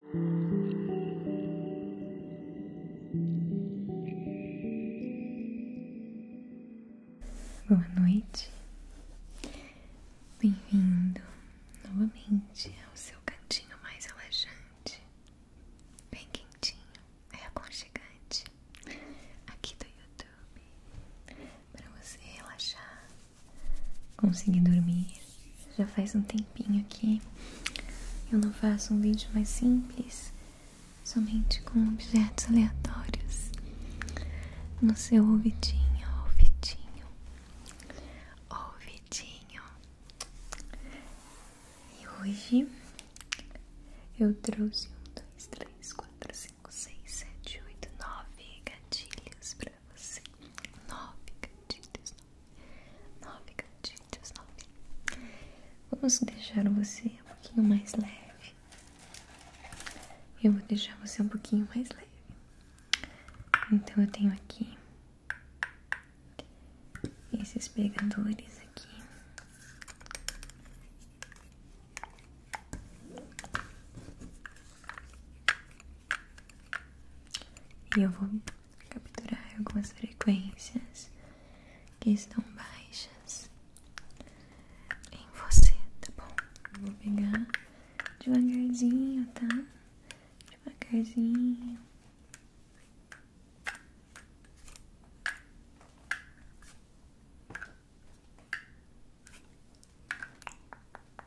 Boa noite, bem-vindo novamente ao seu cantinho mais relaxante, bem quentinho, é aconchegante aqui do YouTube para você relaxar, conseguir dormir já faz um tempinho que eu não faço um vídeo mais simples, somente com objetos aleatórios no seu ouvidinho, ouvidinho, ouvidinho. E hoje eu trouxe um, dois, três, quatro, cinco, seis, sete, oito, nove gatilhos pra pra você. Nove gatilhos, nove. Nove gatilhos, nove. Vamos deixar você um pouquinho mais leve. Eu vou deixar você um pouquinho mais leve. Então eu tenho aqui esses pegadores aqui. E eu vou capturar algumas frequências que estão baixas em você, tá bom? Eu vou pegar devagarzinho, tá? Devagarzinho.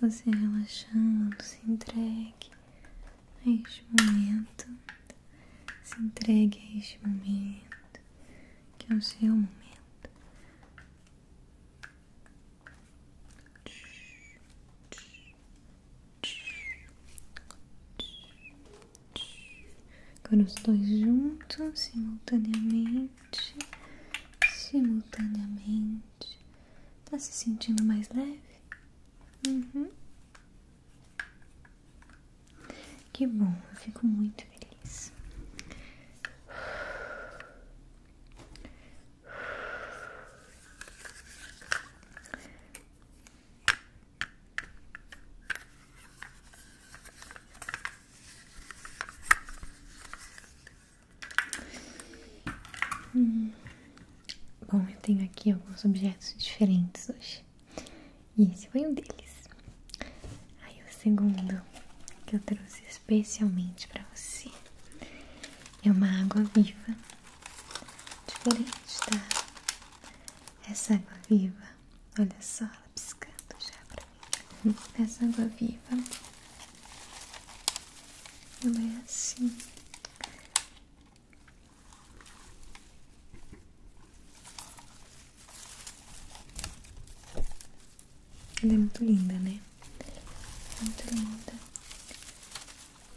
você relaxando, se entregue a este momento, se entregue a este momento, que é o seu momento. Agora os dois juntos, simultaneamente, simultaneamente. Tá se sentindo mais leve? Uhum. Que bom, eu fico muito feliz. Hum. Bom, eu tenho aqui alguns objetos diferentes hoje. E esse foi um deles. Aí o segundo que eu trouxe especialmente para você é uma água viva. Diferente, tá? Essa água viva, olha só, ela piscando já pra mim. Essa água viva ela é assim. Ela é muito linda, né? Muito linda.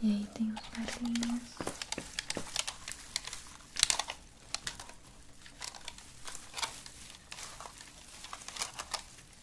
E aí tem os barulhinhos.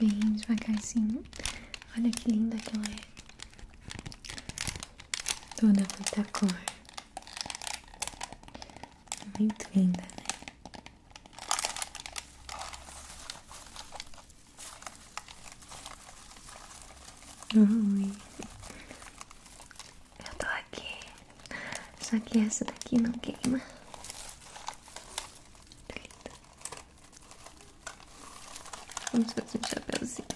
Bem devagarzinho. Olha que linda que ela é. Toda muita cor. Muito linda, né? Oi. Eu tô aqui. Só que essa daqui não queima. Vamos fazer um chapéuzinho.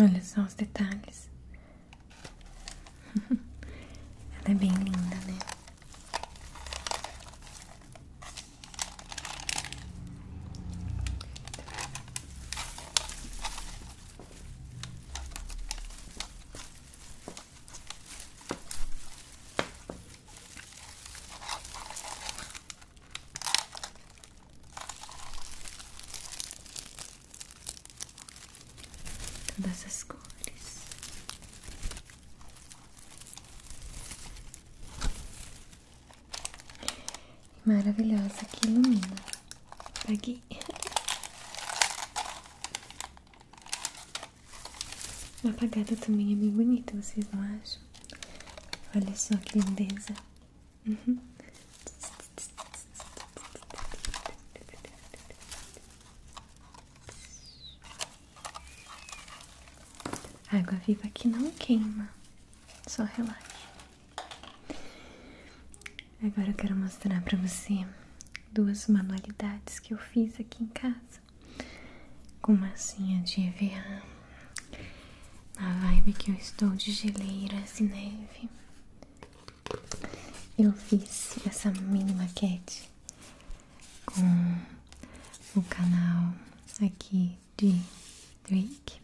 Olha só os detalhes. Ela é bem linda, né? todas as cores. Maravilhosa que ilumina. Paguei. Apagada também é bem bonita, vocês não acham? Olha só que lindeza. Água viva que não queima, só relaxa. Agora eu quero mostrar para você duas manualidades que eu fiz aqui em casa com massinha de EVA. Na vibe que eu estou de geleiras e neve. Eu fiz essa mini maquete com o canal aqui de Drake,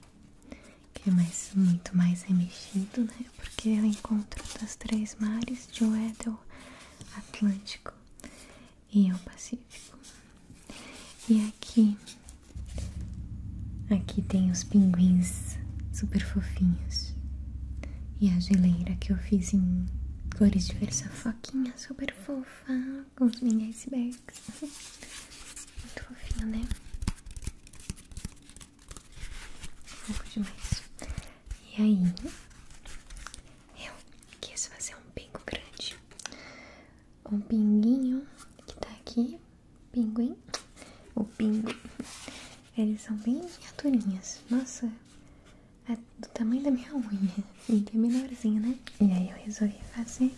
que é mais, muito mais remexido, né? Porque é encontra encontro três mares de Weddell, Atlântico e o Pacífico. E aqui Aqui tem os pinguins super fofinhos. E a geleira que eu fiz em cores diversas, foquinha super fofa, com os mini icebergs. Muito fofinho, né? Fofo demais. E aí, eu quis fazer um pingo grande. Um pinguinho que tá aqui pinguim, o pingo, eles são bem miniaturinhas, nossa, é do tamanho da minha unha, e é menorzinho, né? E aí eu resolvi fazer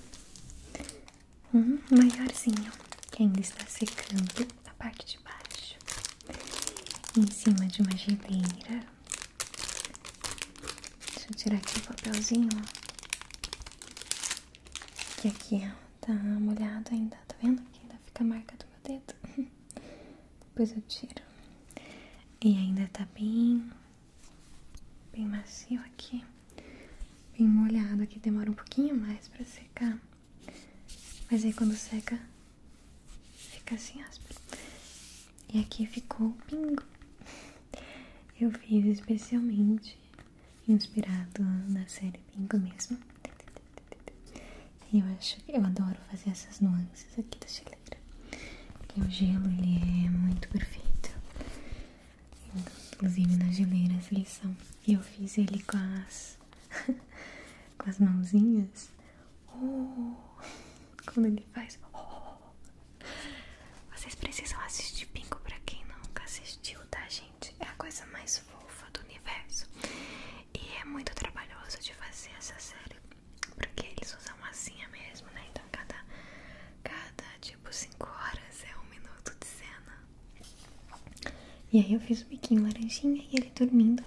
um maiorzinho, que ainda está secando a parte de baixo, em cima de uma geleira. Deixa eu tirar aqui o papelzinho, ó. Que aqui é tá molhado ainda, tá vendo? Aqui ainda fica a marca do meu dedo. Depois eu tiro. E ainda tá bem, bem macio aqui, bem molhado aqui. Demora um pouquinho mais pra secar, mas aí quando seca, fica assim áspero. E aqui ficou o pingo. Eu fiz especialmente inspirado na série Pingo mesmo. Eu acho eu adoro fazer essas nuances aqui da geleira. Porque o gelo ele é muito perfeito. Inclusive nas geleiras eles são. Eu fiz ele com as com as mãozinhas. Oh, quando ele faz. Oh. Vocês precisam assistir Pingo para quem nunca assistiu, tá, gente? é a coisa mais fofa do universo. E é muito trabalhoso de fazer essa série, porque eles usam assim mesmo, né? Então cada, cada tipo 5 horas é um minuto de cena. E aí eu fiz o biquinho laranjinha e ele dormindo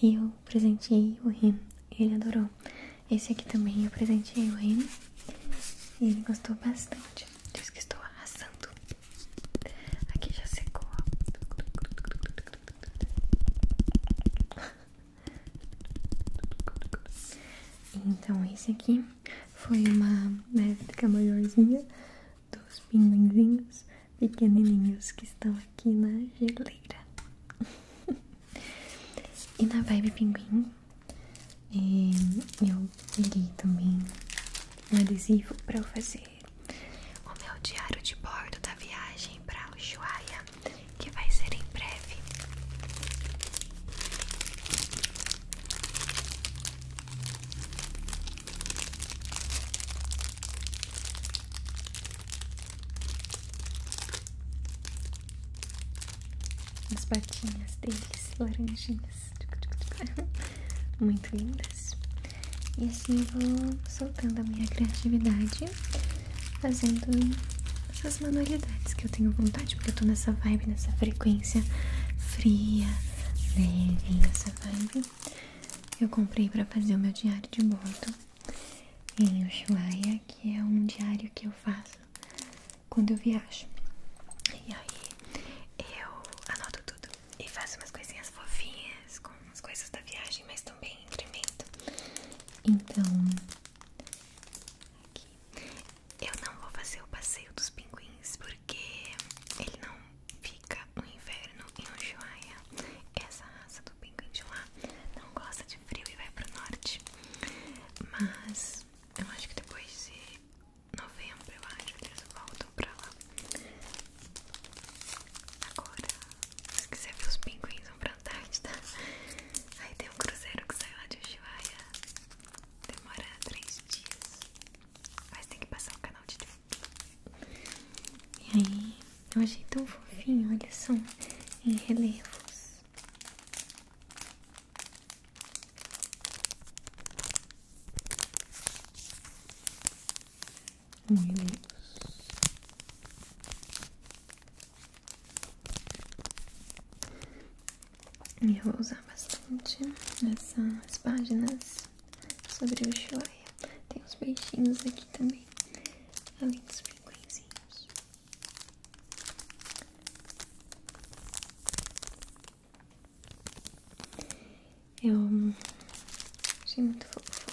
e eu presenteei o Rim. Ele adorou. Esse aqui também eu presenteei o Rim. E ele gostou bastante. Diz que estou arrasando. Aqui já secou. Então, esse aqui foi uma médica né, maiorzinha dos pinguinzinhos pequenininhos que estão aqui na geleira. e na vibe pinguim, e eu peguei também adesivo para eu fazer o meu diário de bordo da viagem para Ushuaia, que vai ser em breve. As patinhas deles, laranjinhas. Muito lindas. E assim vou soltando a minha criatividade, fazendo essas manualidades que eu tenho vontade, porque eu tô nessa vibe, nessa frequência fria, leve, essa vibe. Eu comprei para fazer o meu diário de bordo em Ushuaia, que é um diário que eu faço quando eu viajo. E aí eu anoto tudo e faço umas coisinhas fofinhas com as coisas da viagem, mas também incremento. Então, aqui. Eu não vou fazer o passeio dos pinguins porque ele não fica no inverno em Ushuaia. Essa raça do pinguim de lá não gosta de frio e vai pro norte. Mas eu acho que depois de novembro, eu acho, eles voltam pra lá. Agora, se quiser ver os pinguins, vão pra Antártida. Aí tem um cruzeiro que sai lá de Ushuaia. Demora três dias. Mas tem que passar o canal de E aí, eu achei tão fofinho, olha só, em relevos. Moinhos. E eu vou usar bastante essas páginas sobre o Shoya. Tem os peixinhos aqui também, além dos pinguinzinhos. Eu achei muito fofo.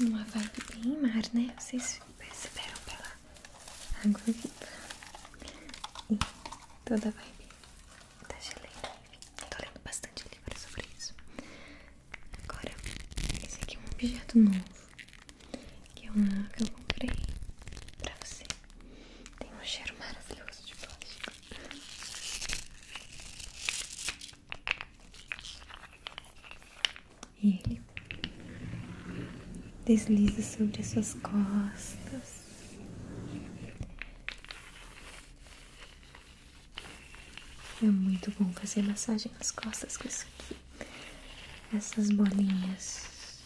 Uma vibe bem mar, né? Vocês perceberam pela água E toda a vibe tá geleia. Tô lendo bastante livros sobre isso. Agora, esse aqui é um objeto novo. Que eu comprei pra você. Tem um cheiro maravilhoso de plástico. E ele desliza sobre suas costas. É muito bom fazer massagem nas costas com isso aqui. Essas bolinhas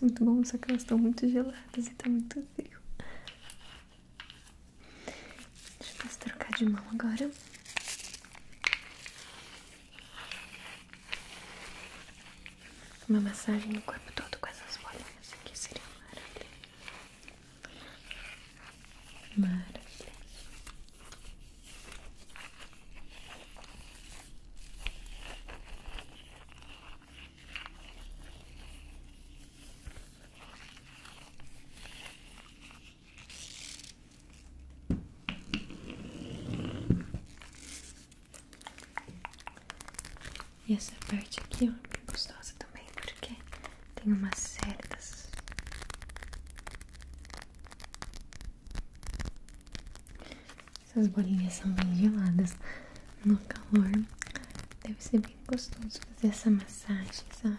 é muito bom, só que elas estão muito geladas e tá muito frio. Deixa eu trocar de mão agora. Uma massagem no corpo todo com essas bolinhas aqui seria maravilha. Maravilha. E essa parte aqui é bem gostosa também, porque tem umas cerdas. Essas bolinhas são bem geladas no calor. Deve ser bem gostoso fazer essa massagem, sabe?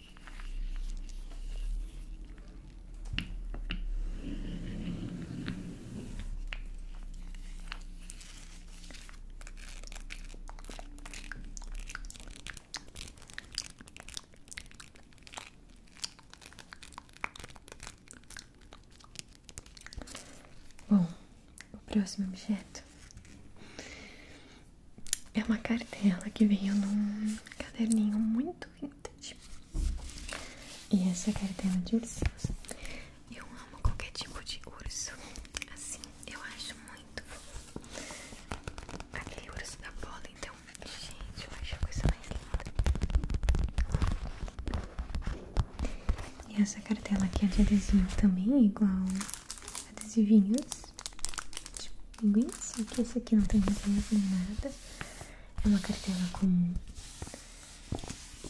Bom, o próximo objeto é uma cartela que veio num caderninho muito vintage. E essa cartela de ursinhos. Eu amo qualquer tipo de urso. Assim, eu acho muito fofo. Aquele urso da bola, então. Gente, eu acho a coisa mais linda. E essa cartela aqui é de adesivo também, igual adesivinhos. Tipo isso, aqui não tem reserva nem nada. É uma cartela comum.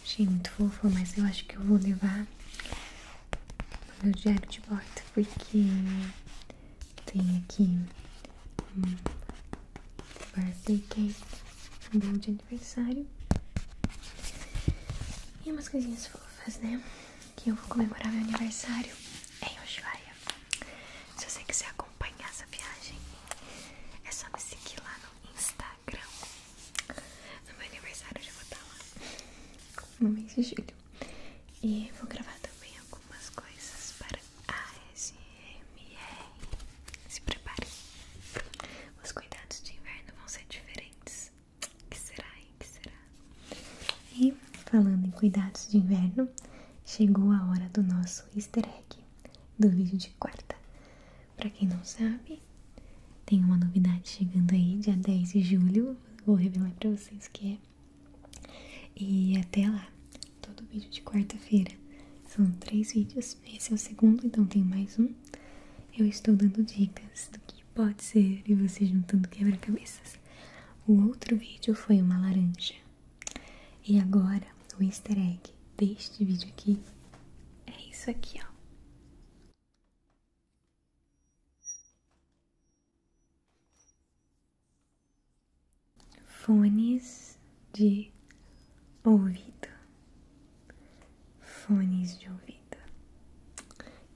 Achei muito fofa, mas eu acho que eu vou levar o meu diário de bordo, porque tem aqui um birthday cake, um bolo de aniversário e umas coisinhas fofas, né? que eu vou comemorar meu aniversário em Ushuaia. Se você quiser acompanhar essa viagem, é só me seguir lá no Instagram. No meu aniversário eu já vou estar lá no mês de E vou gravar também algumas coisas para ASMR. Se preparem. Os cuidados de inverno vão ser diferentes Deus, que será, hein? Que será? E falando em cuidados de inverno, chegou a hora do nosso easter egg do vídeo de quarta. Para quem não sabe, tem uma novidade chegando aí, dia 10 de julho, vou revelar para vocês o que é. E até lá, todo vídeo de quarta-feira. São três vídeos, esse é o segundo, então tem mais um. Eu estou dando dicas do que pode ser e vocês juntando quebra-cabeças. O outro vídeo foi uma laranja. E agora o easter egg deste vídeo aqui é isso aqui, ó. Fones de ouvido. Fones de ouvido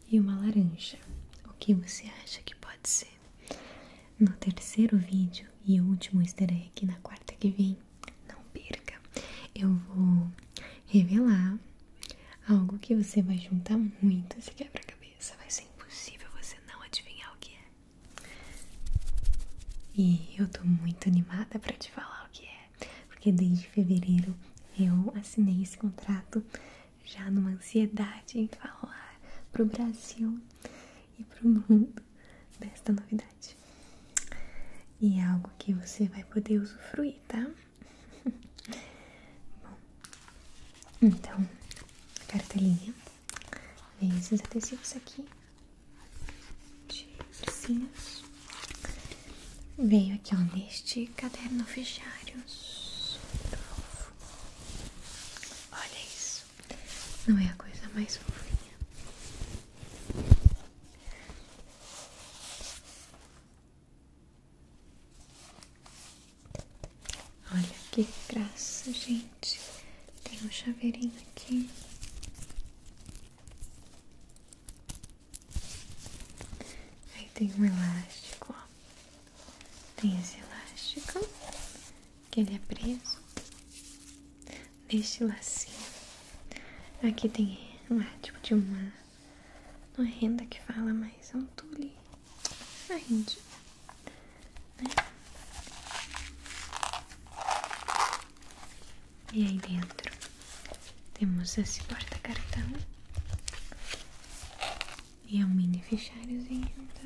e uma laranja. O que você acha que pode ser? No terceiro vídeo e último easter egg na quarta que vem, não perca! Eu vou revelar algo que você vai juntar muito esse quebra-cabeça. Vai ser impossível você não adivinhar o que é. E eu tô muito animada para te falar o que é, porque desde fevereiro eu assinei esse contrato já numa ansiedade em falar pro Brasil e pro mundo desta novidade. E é algo que você vai poder usufruir, tá? Bom, então, cartelinha vem esses adesivos aqui de ursinhos. Veio aqui, ó, neste caderno fichário. Olha isso. Não é a coisa mais fofinha. Olha que graça, gente. Tem um chaveirinho aqui. Aí tem um elástico, ó. Tem esse elástico, que ele é preso neste lacinho. Aqui tem, não tipo de uma, não é renda que fala, mas é um tule, uma rende, né? E aí dentro temos esse porta-cartão e é um mini fichariozinho, tá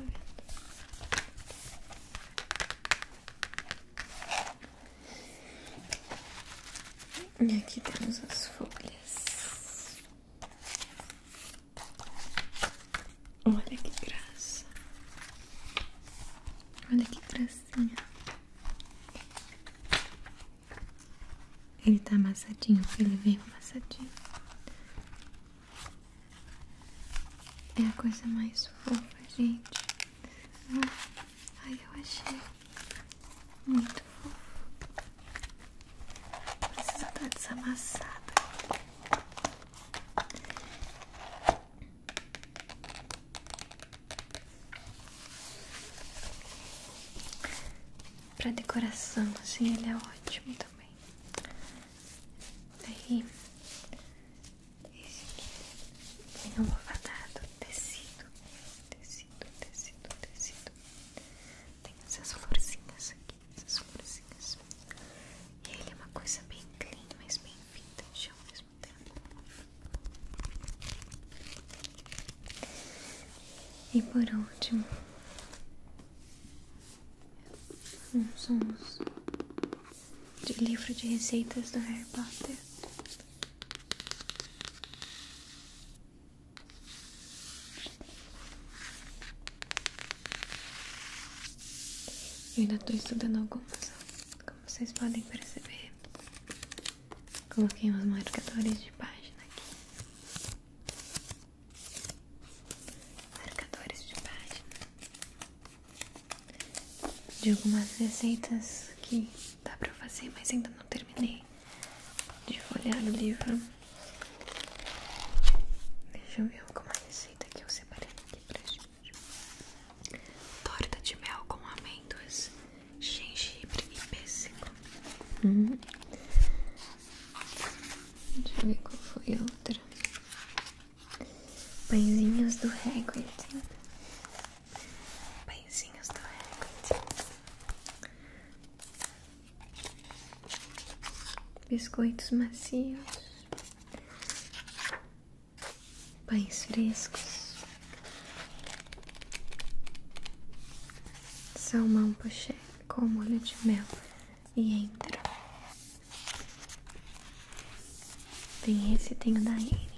vendo? E aqui temos as folhas. Olha que graça. Olha que gracinha. Ele tá amassadinho, ele vem amassadinho. É a coisa mais fofa, gente. Ah, ai, eu achei muito fofo. Precisa estar desamassado para decoração, assim, ele é ótimo também. Aí, esse aqui vem é almofadado, tecido, tecido, tecido, tecido. Tem essas florzinhas aqui, essas florzinhas. E ele é uma coisa bem clean, mas bem vintage ao mesmo tempo. E por último, uns sons de livro de receitas do Harry Potter. Eu ainda estou estudando algumas, como vocês podem perceber. Coloquei uns marcadores de página aqui. Marcadores de página. De algumas receitas que dá pra fazer, mas ainda não terminei de folhear o livro. Deixa eu ver alguma receita que eu separei aqui pra gente. Torta de mel com amêndoas gengibre e pêssego. Uhum. Deixa eu ver qual foi outra. Pãezinhos do Hagrid. Pãezinhos do Hagrid. Biscoitos macios. Pães frescos mão poché com molho de mel e entra. Tem esse, tem o da Amy.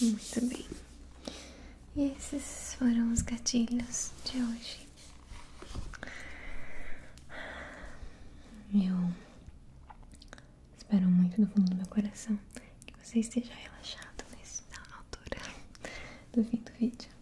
Muito bem. E esses foram os gatilhos de hoje. Eu espero muito do fundo do meu coração que você esteja relaxado nessa altura do fim do vídeo.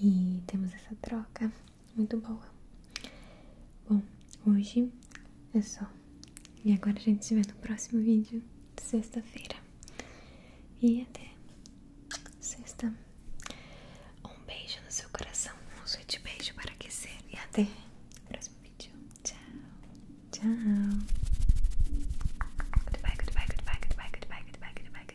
e temos essa troca muito boa. Bom, hoje é só. E agora a gente se vê no próximo vídeo, sexta-feira. E até sexta. Um beijo no seu coração, um suíte beijo para aquecer. E até o próximo vídeo. Tchau. Tchau. Goodbye,